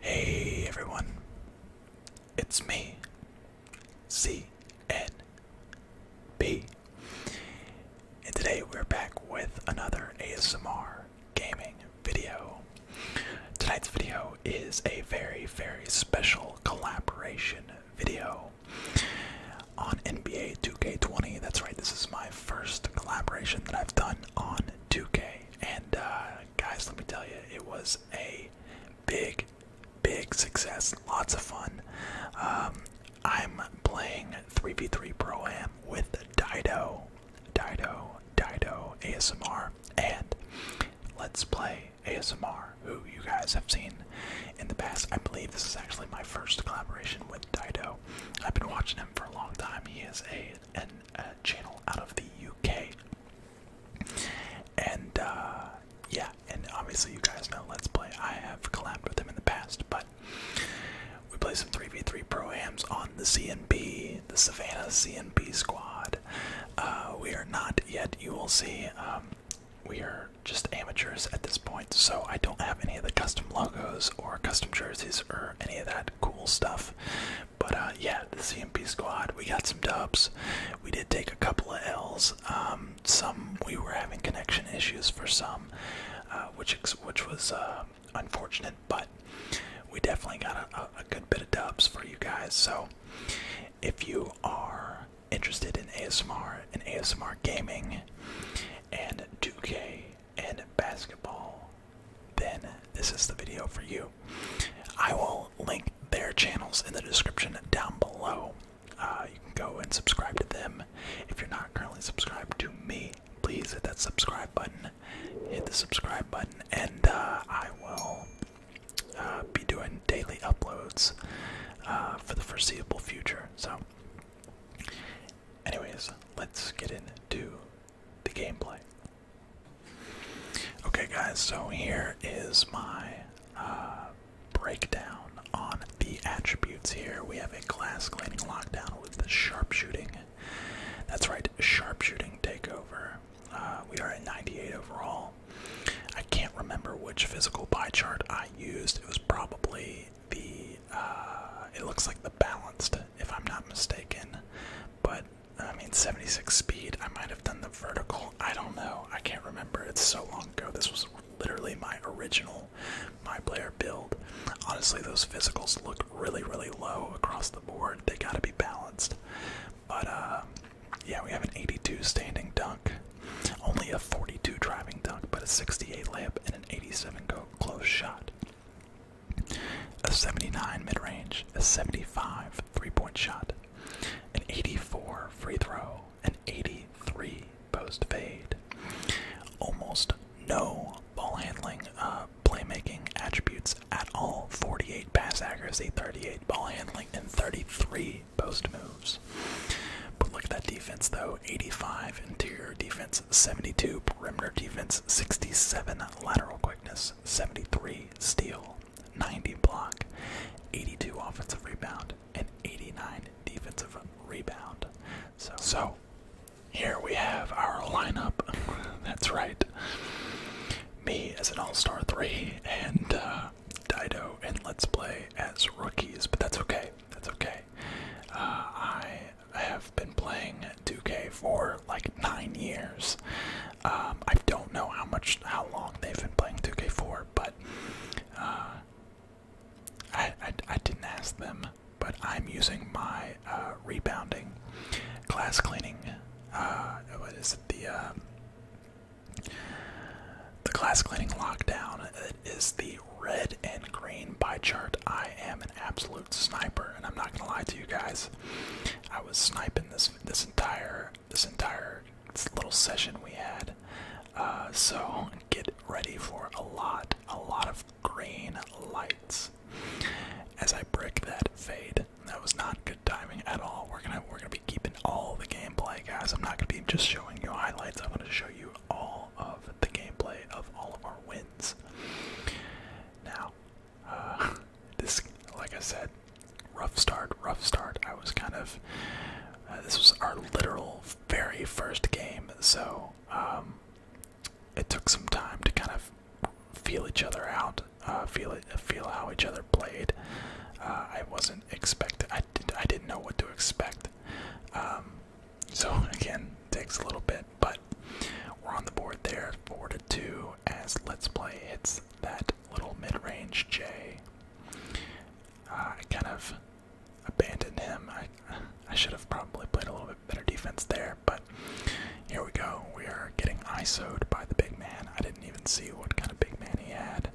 Hey everyone, it's me, C N B, and today we're back with another ASMR gaming video. Tonight's video is a very, very special collaboration video on NBA 2K20. That's right, this is my first collaboration that I've done on 2K. And uh, guys, let me tell you, it was a big, big success. Lots of fun. Um, I'm playing 3v3 Pro Am with Dido, Dido, Dido ASMR, and Let's Play ASMR, who you guys have seen in the past. I believe this is actually my first collaboration with Dido. I've been watching him for a long time. He is a an channel out of the UK. And uh, yeah, and obviously you guys know Let's Play. I have collabed with him in the past, but we play some 3v3 proams on the CNB, the Savannah CNB squad. Uh, we are not yet, you will see, um, we are just amateurs at this point, so I don't have any of the custom logos or custom jerseys or any of that cool stuff. But uh, yeah, the CMP squad, we got some dubs. We did take a couple of L's. Um, some we were having connection issues for some, uh, which which was uh, unfortunate. But we definitely got a, a good bit of dubs for you guys. So if you are interested in ASMR and ASMR gaming and 2K and basketball, then this is the video for you. I will link their channels in the description down below. Uh, you can go and subscribe to them. If you're not currently subscribed to me, please hit that subscribe button. Hit the subscribe button, and uh, I will uh, be doing daily uploads for the foreseeable future. So, anyways, let's get into the gameplay. Okay, guys, so here is my uh, breakdown on the attributes here. We have a glass claiming lockdown with the sharpshooting. That's right, sharpshooting takeover. Uh, we are at 98 overall. I can't remember which physical pie chart I used. It was probably the, uh, it looks like the balanced, if I'm not mistaken. But I mean, 76 speed. I might have done the vertical. I don't know. I can't remember. It's so long ago. This was literally my original my player build. Honestly, those physicals look really, really low across the board. They gotta be balanced. But uh, yeah, we have an 82 standing dunk, only a 42 driving dunk, but a 68 layup and an 87 go close shot a 79 mid range, a 75 three point shot, an 84 free throw, an 83 post fade. Almost no ball handling, uh, playmaking attributes at all 48 pass accuracy, 38 ball handling, and 33 post moves. But look at that defense though 85 interior defense, 72 perimeter defense, 67 lateral quickness, 73 steal, 90 block, 82 offensive rebound, and 89 defensive rebound. So, here we have our lineup. That's right. Me as an all star three, and uh, Dido and Let's Play as rookies, but that's okay. That's okay. Uh, I I have been playing 2K for like nine years. Um, I don't know how much, how long they've been playing 2K for, but uh, I, didn't ask them. But I'm using my uh, rebounding, glass cleaning. Uh, what is it? The the glass cleaning lockdown it is the red and green pie chart. I am an absolute sniper, and I'm not gonna lie to you guys. I was sniping this this entire this entire little session we had. Uh, so get ready for a lot, a lot of green lights. As I break that fade, that was not good timing at all. We're gonna we're gonna be keeping all the gameplay, guys. I'm not gonna be just showing you highlights. I'm gonna show you all of the gameplay of all of our wins. Now, uh, this, like I said, rough start, rough start. I was kind of. Uh, this was our literal very first game, so um, it took some time to kind of feel each other out, uh, feel it, feel how each other played. I wasn't expecting. I did. I didn't know what to expect. Um, so again, takes a little bit, but we're on the board there, four to two. As Let's Play it's that little mid-range uh, I kind of abandoned him. I I should have probably played a little bit better defense there, but here we go. We are getting ISO'd by the big man. I didn't even see what kind of big man he had,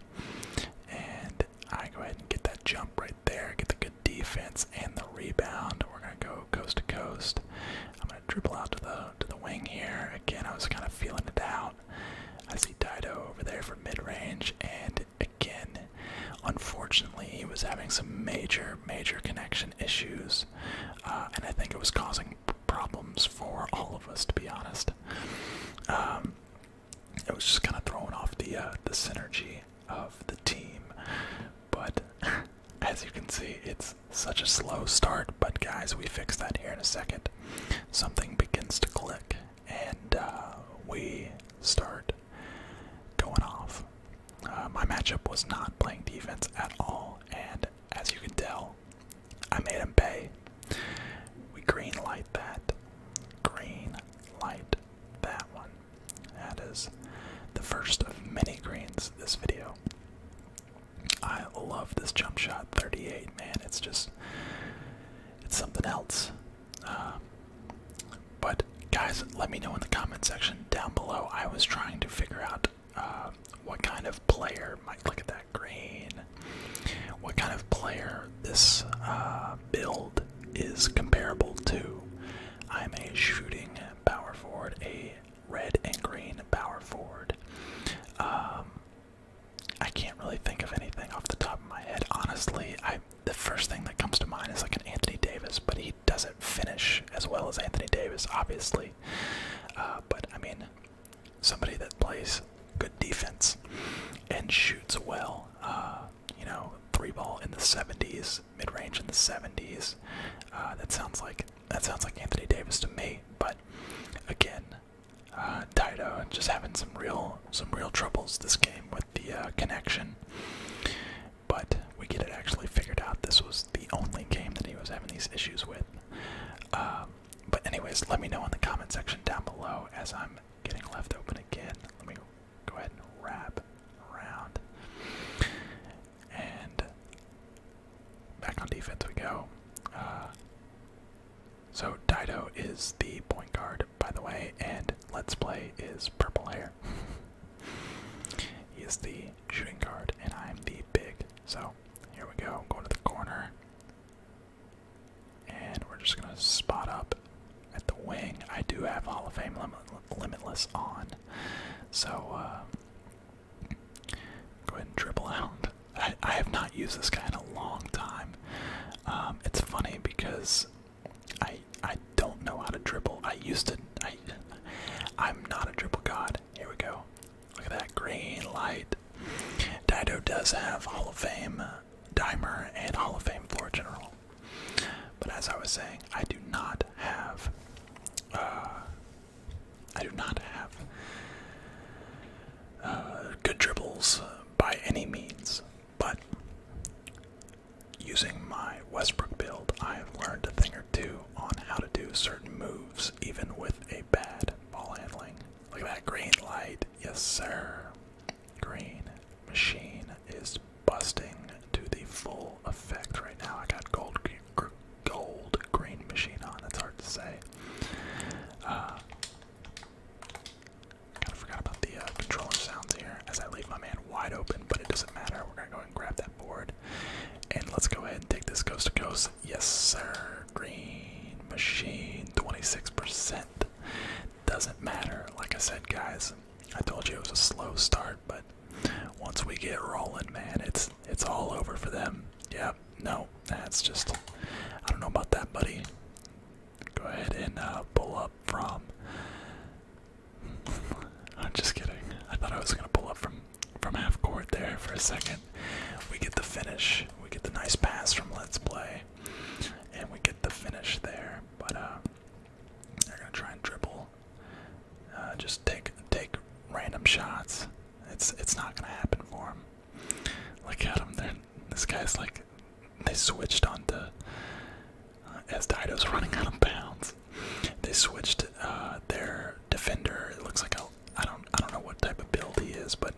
and I go ahead and get that jump right there. Get the good defense and the rebound. We're gonna go coast to coast. I'm gonna dribble out to the to the wing here. Again, I was kind of feeling it out. I see Dido over there for mid range, and again, unfortunately, he was having some major, major connection issues, uh, and I think it was causing problems for all of us, to be honest. Um, it was just kind of throwing off the uh, the synergy of the team, but As you can see, it's such a slow start, but guys, we fix that here in a second. Something begins to click, and uh, we start going off. Uh, my matchup was not playing defense at all, and as you can tell, I made him pay. We green light that. Green light that one. That is the first of many greens this video. I love this jump shot 38, man. It's just, it's something else. Um, but guys, let me know in the comment section down below. I was trying to figure out uh, what kind of player might look at that green. What kind of player this uh, build is comparable to? I'm a shooting power forward, a red and green power forward. Um, I can't really think of anything off the top of my head. Honestly, I the first thing that comes to mind is like an Anthony Davis, but he doesn't finish as well as Anthony Davis, obviously. Uh, but I mean, somebody that plays good defense and shoots well. Uh, you know, three ball in the 70s, mid range in the 70s. Uh, that sounds like that sounds like Anthony Davis to me, but again, uh, Dido just having some real some real troubles this game with the uh, connection. But we get it actually figured out. This was the only game that he was having these issues with. Uh, but anyways, let me know in the comment section down below as I'm getting left open again. Let me go ahead and wrap around. And Back on defense we go. Uh, so Dido is the point guard, by the way, and Let's Play is purple hair. he is the shooting guard, and I'm the big. So here we go. Going to the corner. And we're just going to spot up at the wing. I do have Hall of Fame Limitless on. So uh, Go ahead and dribble out. I, I have not used this guy in a long time. Um, it's funny because I I don't know how to dribble. I used to. I I'm not a dribble god. Here we go. Look at that green light. Dido does have Hall of Fame uh, Dimer and Hall of Fame Floor General. But as I was saying, I do not have uh, I do not have uh, good dribbles by any means, but using my Westbrook build, I have learned a thing or two on how to do certain moves, even with a bad ball handling. Look at that green light. Yes, sir. Green machine is busting to the full effect right now. I got gold, gold green machine on. That's hard to say. Uh, kind of forgot about the uh, controller sounds here as I leave my man wide open, but it doesn't matter. We're gonna go and grab that board, and let's go ahead and take this coast to coast. Yes, sir. Green machine, 26%. Doesn't matter. Like I said, guys, I told you it was a slow start, but once we get rolling, man, it's it's all over for them. Yeah, no, that's just I don't know about that, buddy. Go ahead and uh, pull up from. I'm just kidding. I thought I was gonna pull up from from half court there for a second. We get the finish. We get the nice pass from Let's Play, and we get the finish there. But uh, they're gonna try and dribble uh, just take take random shots. It's it's not gonna happen for him. Look at him. this guy's like they switched on uh, as Dido's running out of bounds. They switched uh, their defender. It looks like a I don't I don't know what type of build he is, but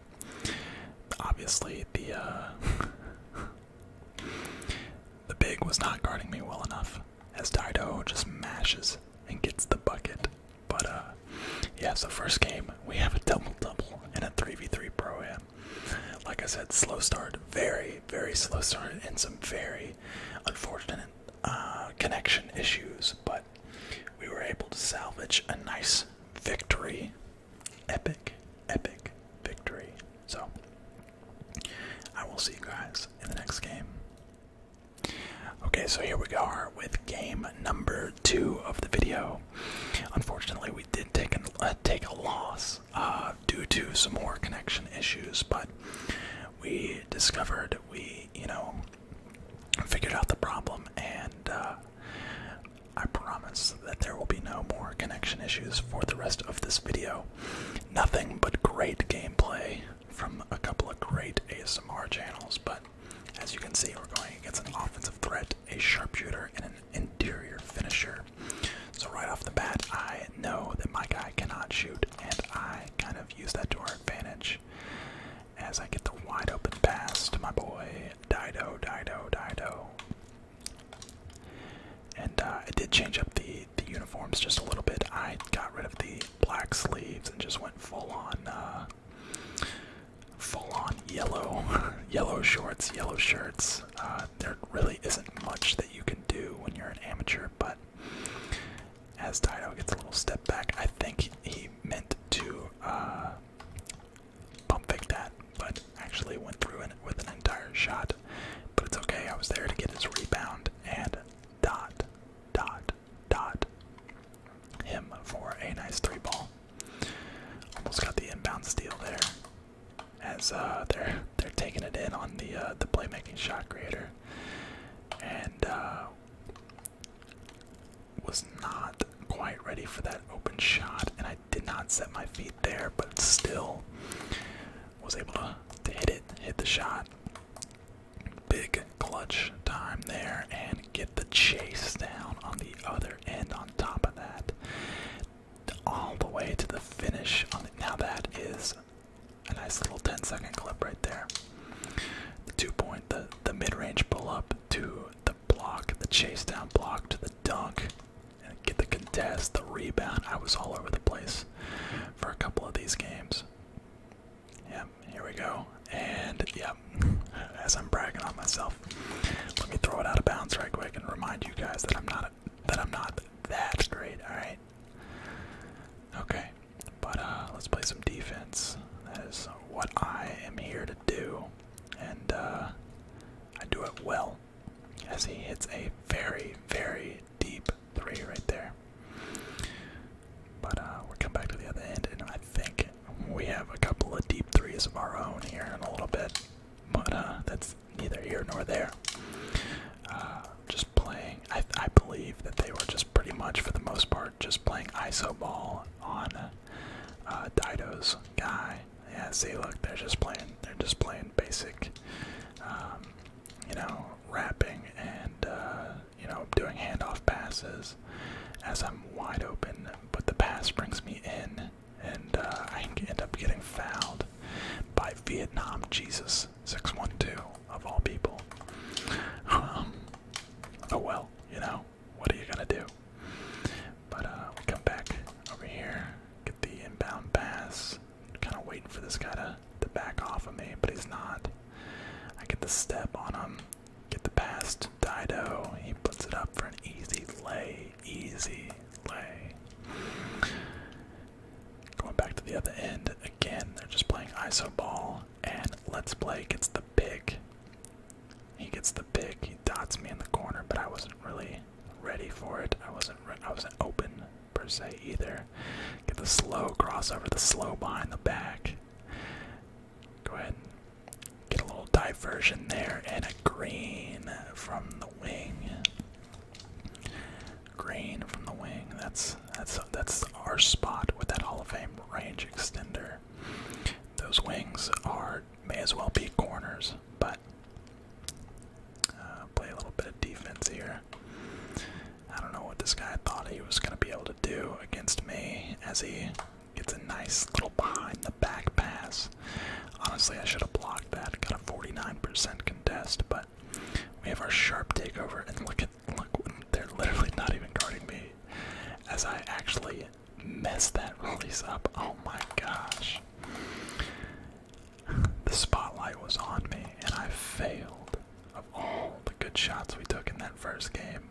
obviously the uh, the big was not guarding me well enough. As Dido just mashes and gets the bucket. But uh, yeah, so first game, we have a double double and a 3v3 pro am. Like I said, slow start, very, very slow start, and some very unfortunate uh, connection issues. But we were able to salvage a nice victory. Epic, epic victory. So I will see you guys in the next game. Okay, so here we are with game number two of the video. Unfortunately, we did take a uh, take a loss uh, due to some more connection issues, but we discovered we you know figured out the problem, and uh, I promise that there will be no more connection issues for the rest of this video. Nothing but great gameplay from a couple of great ASMR channels, but as you can see, we're going against an offensive threat, a sharpshooter, and an interior finisher. So right off the bat, I know that my guy cannot shoot, and I kind of use that to our advantage. As I get the wide open pass to my boy Dido, Dido, Dido, and uh, I did change up the the uniforms just a little bit. I got rid of the black sleeves, and just went full on, uh, full on yellow, yellow shorts, yellow shirts. Uh, there really isn't much that you can do when you're an amateur, but as Dido gets a little step back, I think he meant to uh, pump fake that, but actually went through it with an entire shot. But it's okay, I was there to get his rebound and dot, dot, dot him for a nice three ball. Almost got the inbound steal there, as uh, they're they're taking it in on the uh, the playmaking shot creator, and uh, was not quite ready for that open shot, and I did not set my feet there, but still was able to to hit it, hit the shot, Big clutch time there and get the chase down on the other end on top of that. All the way to the finish on now that is a nice little 10 second clip right there. The two point the the mid-range pull up to the block, the chase down block to the dunk, and get the contest, the rebound. I was all over the place for a couple of these games. Yeah, here we go. And yep, as I'm bragging on myself, let me throw it out of bounds right quick and remind you guys that I'm not that great. All right. Okay, but uh, let's play some defense. That is what I am here to do, and uh, I do it well. As he hits a very, very deep Three right, there. But uh, we're coming back to the other end, and I think we have a couple of deep threes of our own here in a little bit. But uh, that's neither here nor there. Uh, just playing. I, I believe that they were just pretty much, for the most part, just playing iso ball on uh, Dido's guy. Yeah, see, look, they're just playing. They're just playing basic, um, you know, rapping and uh, you know, doing handoff passes as I'm wide open, but the pass brings me in, and uh, I end up getting fouled by Vietnam Jesus 612 of all people. Um, oh well, you know, what are you gonna do? But uh, we come back over here, get the inbound pass, kind of waiting for this guy to, to back off of me, but he's not. I get the step on him, get the pass to Dido. He puts it up for an easy lay, easy lay. Going back to the other end again, they're just playing iso ball, and Let's Play gets the pick. He gets the pick. He dots me in the corner, but I wasn't really ready for it. I wasn't. I wasn't open per se either. Get the slow crossover, the slow behind the back. Go ahead get a little diversion there and a green from the wing. Green from the wing. That's that's that's our spot with that Hall of Fame range extender. Those wings are may as well be corners, but uh, play a little bit of defense here. I don't know what this guy thought he was going to be able to do against me as he gets a nice little behind the back pass. Honestly, I should have blocked that. Got a 49% contest, but we have our sharp takeover. And look at look, they're literally not even guarding me as I actually mess that release up. Oh my gosh. The spotlight was on me and I failed of all the good shots we took in that first game.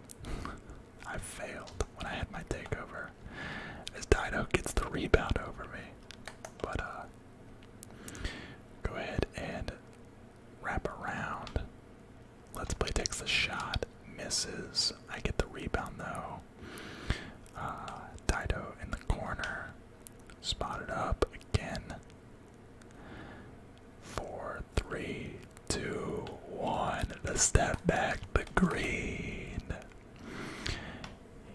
I failed when I had my takeover. As Dido gets the rebound over me. But uh go ahead and wrap around. Let's play takes the shot, misses. I get the rebound though. Uh Dido in the corner. Spotted up again. Four, three, two, one. The step back, the green.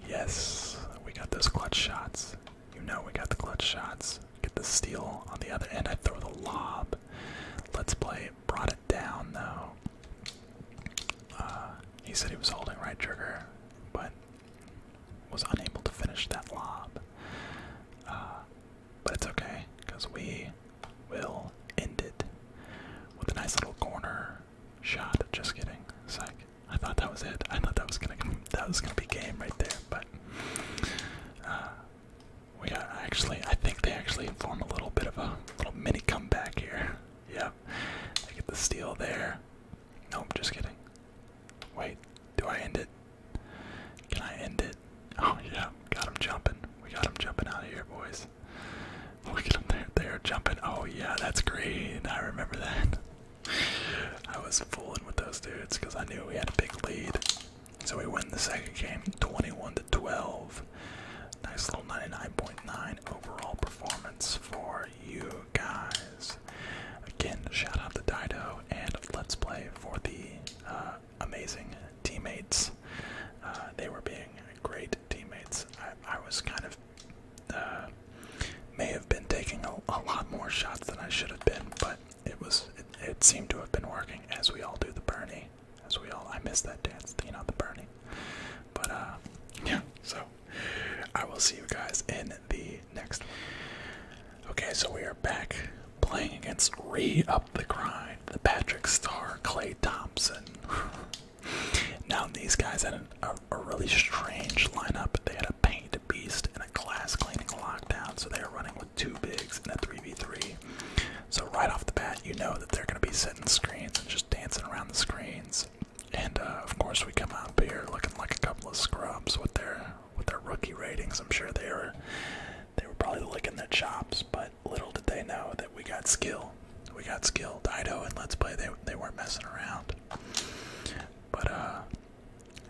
Yes, we got those clutch shots. You know we got the clutch shots. Get the steal on the other end. I throw the lob. Let's play. Brought it down though. Uh, he said he was holding right trigger, but was unable to finish that lob. Uh, but it's okay, because we will end it with a nice little corner shot. Just kidding. Psych. I thought that was it. I thought that was gonna that was gonna be game right there, but uh, we got actually. I think they actually form a little bit of a little mini comeback here. Yeah, they get the steal there. Nope, just kidding. Wait, do I end it? Can I end it? Oh yeah, got him jumping. We got him jumping out of here, boys. Look at him They're jumping. Oh yeah, that's green. I remember that. I was fooling with those dudes because I knew we had a big lead. So we win the second game, 21 to 12. Nice little 99.9 overall performance for you guys. Again, shout out to Dido and Let's Play for the uh, amazing teammates. Uh, they were being great teammates. I, was kind of uh, may have been taking a, lot more shots than I should have been, but it was it, it seemed to have been working as we all do the Bernie. As we all, I miss that dance, you know, the Bernie. But uh, yeah. So I will see you guys in the next one. Okay, so we are back playing against Re Up the Grind, the Patrick Star, Clay Thompson. now, these guys had a, really strange lineup. They had a paint beast and a glass cleaning lockdown, so they are running with two bigs and a 3v3. So, right off the bat, you know that they're going to be setting screens and just dancing around the screens. And uh, of course, we come out here looking like a couple of scrubs with their with their rookie ratings. I'm sure they were they were probably licking their chops, but little did they know that we got skill. We got skill. Dido and Let's Play, they, they weren't messing around. But uh,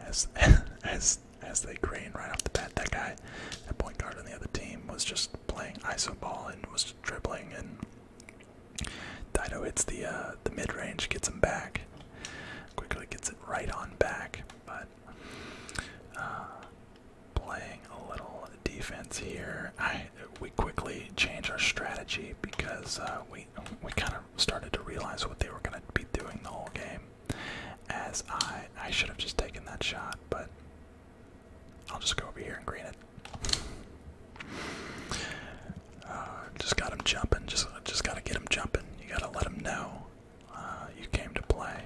as, as, as they grained right off the bat, that guy, that point guard on the other team, was just playing iso ball and was dribbling, and Dido hits the, uh, the mid-range, gets him back. Quickly gets it right on back, but uh, playing a little defense here. I we quickly change our strategy because uh, we we kind of started to realize what they were going to be doing the whole game. As I I should have just taken that shot, but I'll just go over here and green it. Uh, just got him jumping. Just just gotta get him jumping. You gotta let him know uh, you came to play.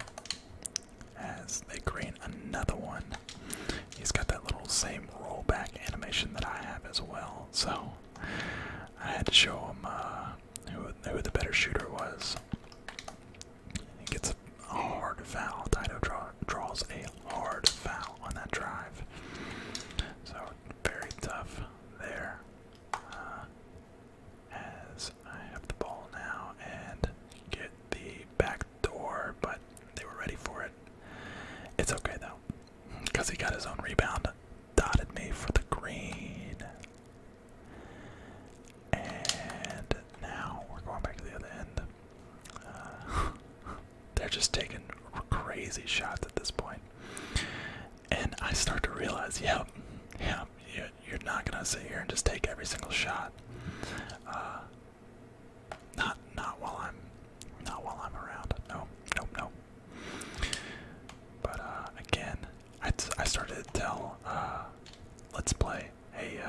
As they create another one, he's got that little same rollback animation that I have as well. So I had to show him uh, who, who the better shooter was. He gets a hard foul. Tito draws a hard foul on that drive. So very tough there. Uh, as I have the ball now and get the back door, but they were ready for it. It's okay though, because he got his own rebound, dotted me for the green. And now we're going back to the other end. Uh, they're just taking crazy shots at this And I start to realize, yep, yeah, you, are not gonna sit here and just take every single shot. Uh, not not while I'm not while I'm around. No, nope, no. But uh, again, I, t I started to tell uh, let's play. Hey,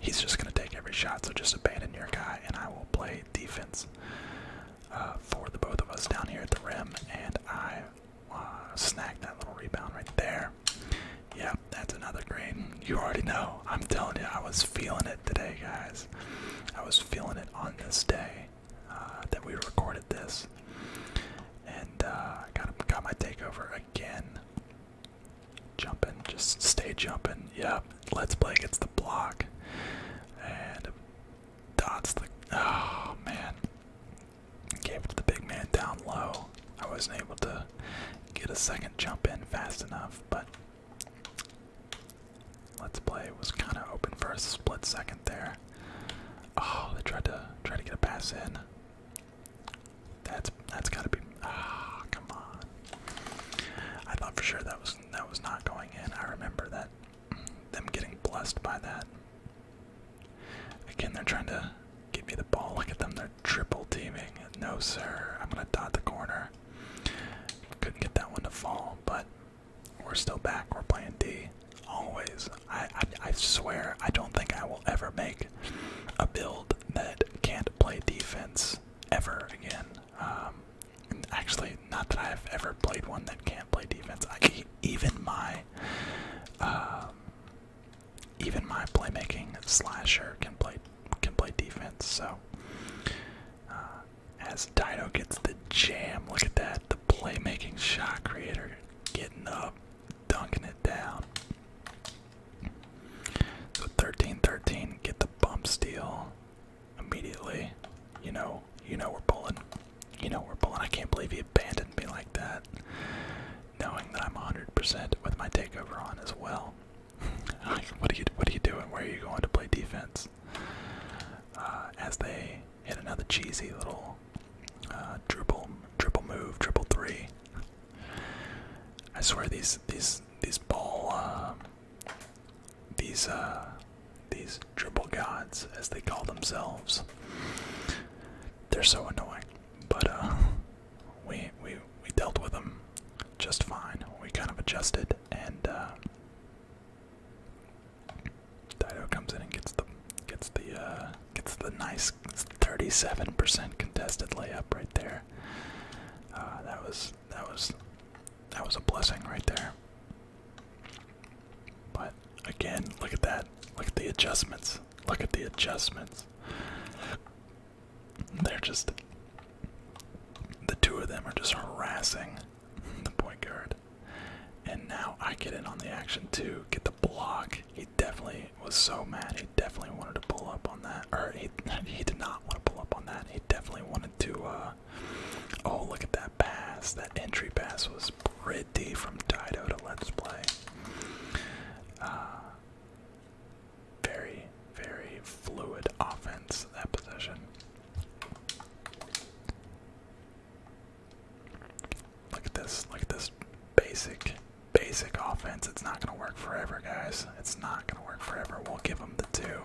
he's just gonna take every shot, so just abandon your guy, and I will play defense for the both of us down here at the rim. And I uh, snagged that little rebound right there. Yep, that's another grain. You already know. I'm telling you, I was feeling it today, guys. I was feeling it on this day uh, that we recorded this, and uh, got got my takeover again. Jumping, just stay jumping. Yep, let's play against the block, and dots the. Oh man, Gave it to the big man down low. I wasn't able to get a second jump in fast enough, but let's play was kind of open for a split second there. Oh, they tried to try to get a pass in. That's that's gotta be. oh, come on. I thought for sure that was that was not going in. I remember that them getting blessed by that. Again, they're trying to give me the ball. Look at them, they're triple teaming. No, sir. I'm going to dot the corner. Couldn't get that one to fall, but we're still back. We're playing D. Always. I, I, swear, I don't think I will ever make a build that can't play defense ever again. Um, actually, not that I've ever played one that can't play defense. I, even my. Um, even my playmaking slasher can play can play defense. So uh, as Dino gets the jam, look at that. The playmaking shot creator getting up, dunking it down. So 13 get the bump steal immediately. You know, you know we're pulling. You know we're pulling. I can't believe he abandoned me like that knowing that I'm 100% with my takeover on as well. what are you what are you doing? Where are you going to play defense? Uh, as they hit another cheesy little uh, triple, triple move, triple three. I swear these these these ball um, these uh, these dribble gods as they call themselves. They're so annoying. But uh, we we we dealt with them just fine. We kind of adjusted, and uh, Dido comes in and gets the gets the uh, gets the nice 37% contested layup right there. Uh, that was that was that was a blessing right there. But Again, look at that. Look at the adjustments. Look at the adjustments. They're just. The two of them are just harassing the point guard. And now I get in on the action too. Get the block. He definitely was so mad. He definitely wanted to pull up on that. Or he, he did not want to pull up on that. He definitely wanted to. Uh, oh, look at that pass. That entry pass was pretty from Dido to Let's Play. Uh, very, very fluid offense, that possession. Look at this, look at this basic, basic offense. It's not going to work forever, guys. It's not going to work forever. We'll give them the two.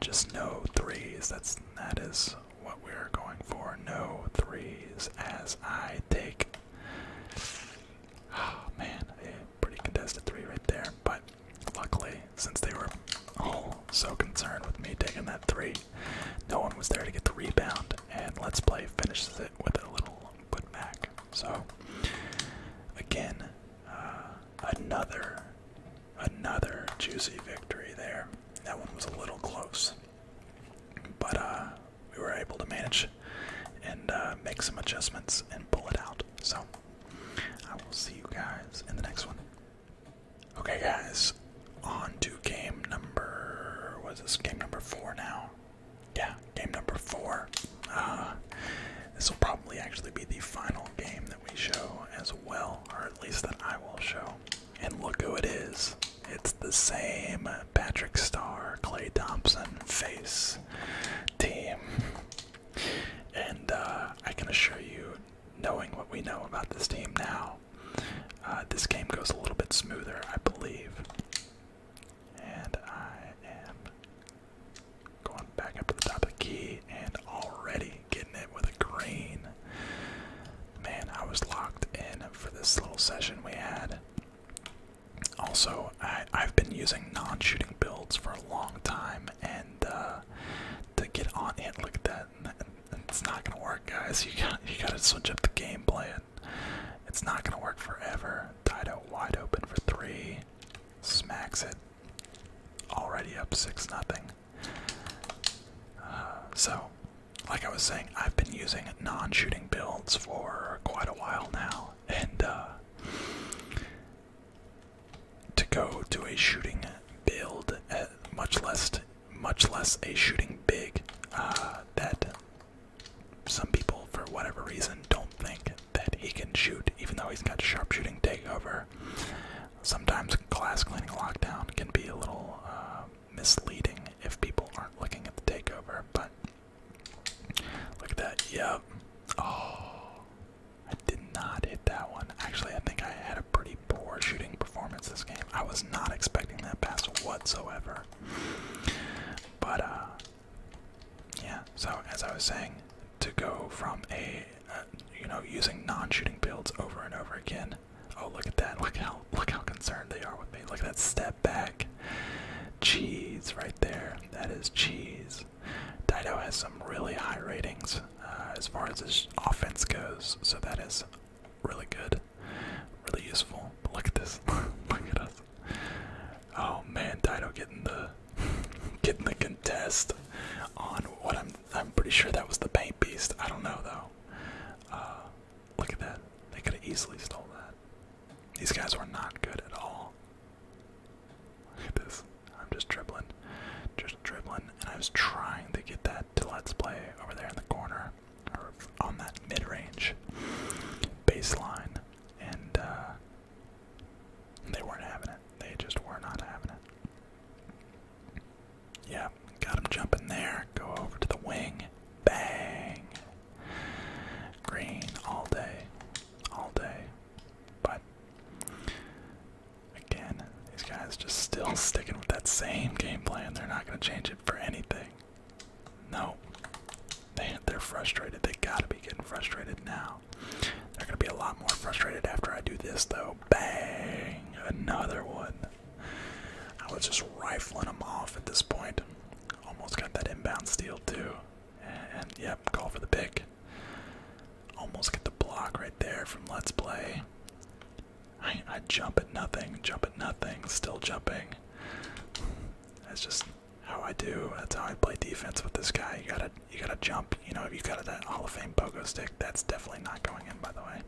Just no threes. That's, that is what we're going for. No threes as I take Oh man, a pretty contested three right there. But luckily, since they were all so concerned with me taking that three, no one was there to get the rebound. And Let's Play finishes it with a little putback. So again, uh, another another juicy victory there. That one was a little close. But uh, we were able to manage and uh, make some adjustments and pull it out. So I will see you guys in the next one. Okay, guys, on to game number. Was this game number four now? Yeah, game number four. Uh, this will probably actually be the final game that we show as well, or at least that I will show. And look who it is. It's the same Patrick Starr, Clay Thompson face team. And uh, I can assure you, knowing what we know about this team now, uh, this game goes a little bit smoother, I believe. And I am going back up to the top of the key and already getting it with a green. Man, I was locked in for this little session we had. Also, I, have been using non-shooting builds for a long time, and uh, to get on it, look at that, it's not gonna work, guys. You got you gotta switch up the game plan. It's not gonna work forever. Dido wide open for three, smacks it. Already up six nothing. Uh, so like I was saying, I've been using non-shooting builds for quite a while now, and uh, to go to a shooting build, uh, much less, much less a shooting big, uh, that some people, for whatever reason, don't think that he can shoot, even though he's got sharpshooting over. Sometimes glass cleaning lockdown can be a little misleading if people aren't looking at the takeover, but look at that. Yep. Oh, I did not hit that one. Actually, I think I had a pretty poor shooting performance this game. I was not expecting that pass whatsoever. But, uh, yeah, so as I was saying, to go from a, uh, you know, using non shooting builds over and over again. Oh, look at that. Look how look how concerned they are with me. Look at that step back. Cheese right there. That is cheese. Dido has some really high ratings uh, as far as his offense goes, so that is really good, really useful. look at this. look at us. Oh man, Dido getting the getting the contest on what I'm I'm pretty sure that was the paint beast. I don't know though. Uh, look at that. They could have easily stole that. These guys were not good at all. Look at this. I'm just dribbling. Just dribbling. And I was trying to get that to let's play over there in the corner. Or on that mid range baseline. Uh, and they weren't having it. They just were not having it. Yeah, got him jumping there. Go over to the wing. Bang. Green all day, all day. But again, these guys just still sticking with that same game plan. They're not going to change it for anything. No, they, they're frustrated. They gotta be getting frustrated now. They're gonna be a lot more frustrated after I do this, though. Bang! Another one. I was just rifling them off at this point. Almost got that inbound steal too. And, yep, call for the pick. Almost get the block right there from Let's Play. I, jump at nothing, jump at nothing, still jumping. That's just how I do. That's how I play defense with this guy. You gotta, you gotta jump. You know, if you got that Hall of Fame pogo stick, that's definitely not going in. By the way,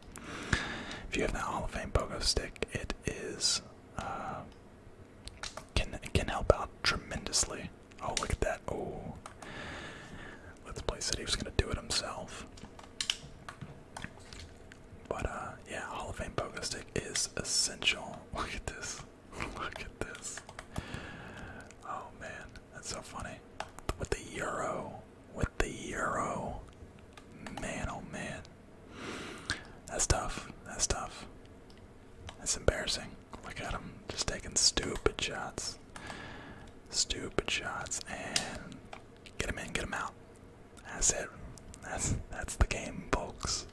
if you have that Hall of Fame pogo stick, it is uh, can can help out tremendously. Oh, look at that! Oh, let's play said he was gonna do it himself. But uh, yeah, Hall of Fame poker stick is essential. Look at this! Look at this! Oh man, that's so funny. With the euro, with the euro, man, oh man. That's tough. That's tough. That's embarrassing. Look at him. Just taking stupid shots. Stupid shots. And get him in, get him out. That's it. That's that's the game, folks.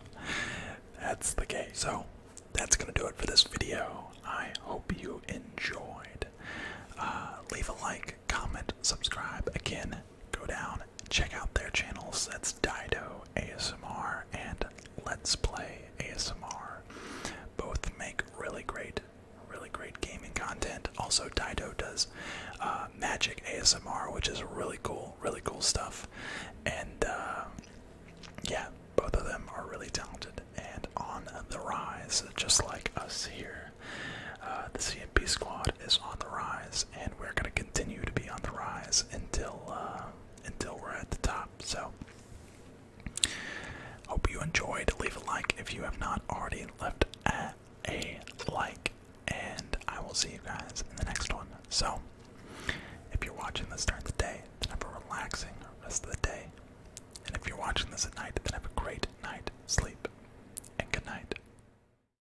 That's the game. So that's gonna do it for this video. I hope you enjoyed. Uh, leave a like, comment, subscribe. Again, go down check out their channels. That's Dido ASMR and Let's Play ASMR. Both make really great, really great gaming content. Also, Dido does uh, Magic ASMR, which is really cool, really cool stuff. And uh, yeah, both of them are really talented and on the rise, just like us here. Uh, the CMP squad is on the rise, and we're going to continue to be on the rise until uh, until we're at the top. So, hope you enjoyed. Leave a like if you have not already left a, a like, and I will see you guys in the next one. So, if you're watching this during the day, then have a relaxing rest of the day, and if you're watching this at night, then have a great night sleep, and good night.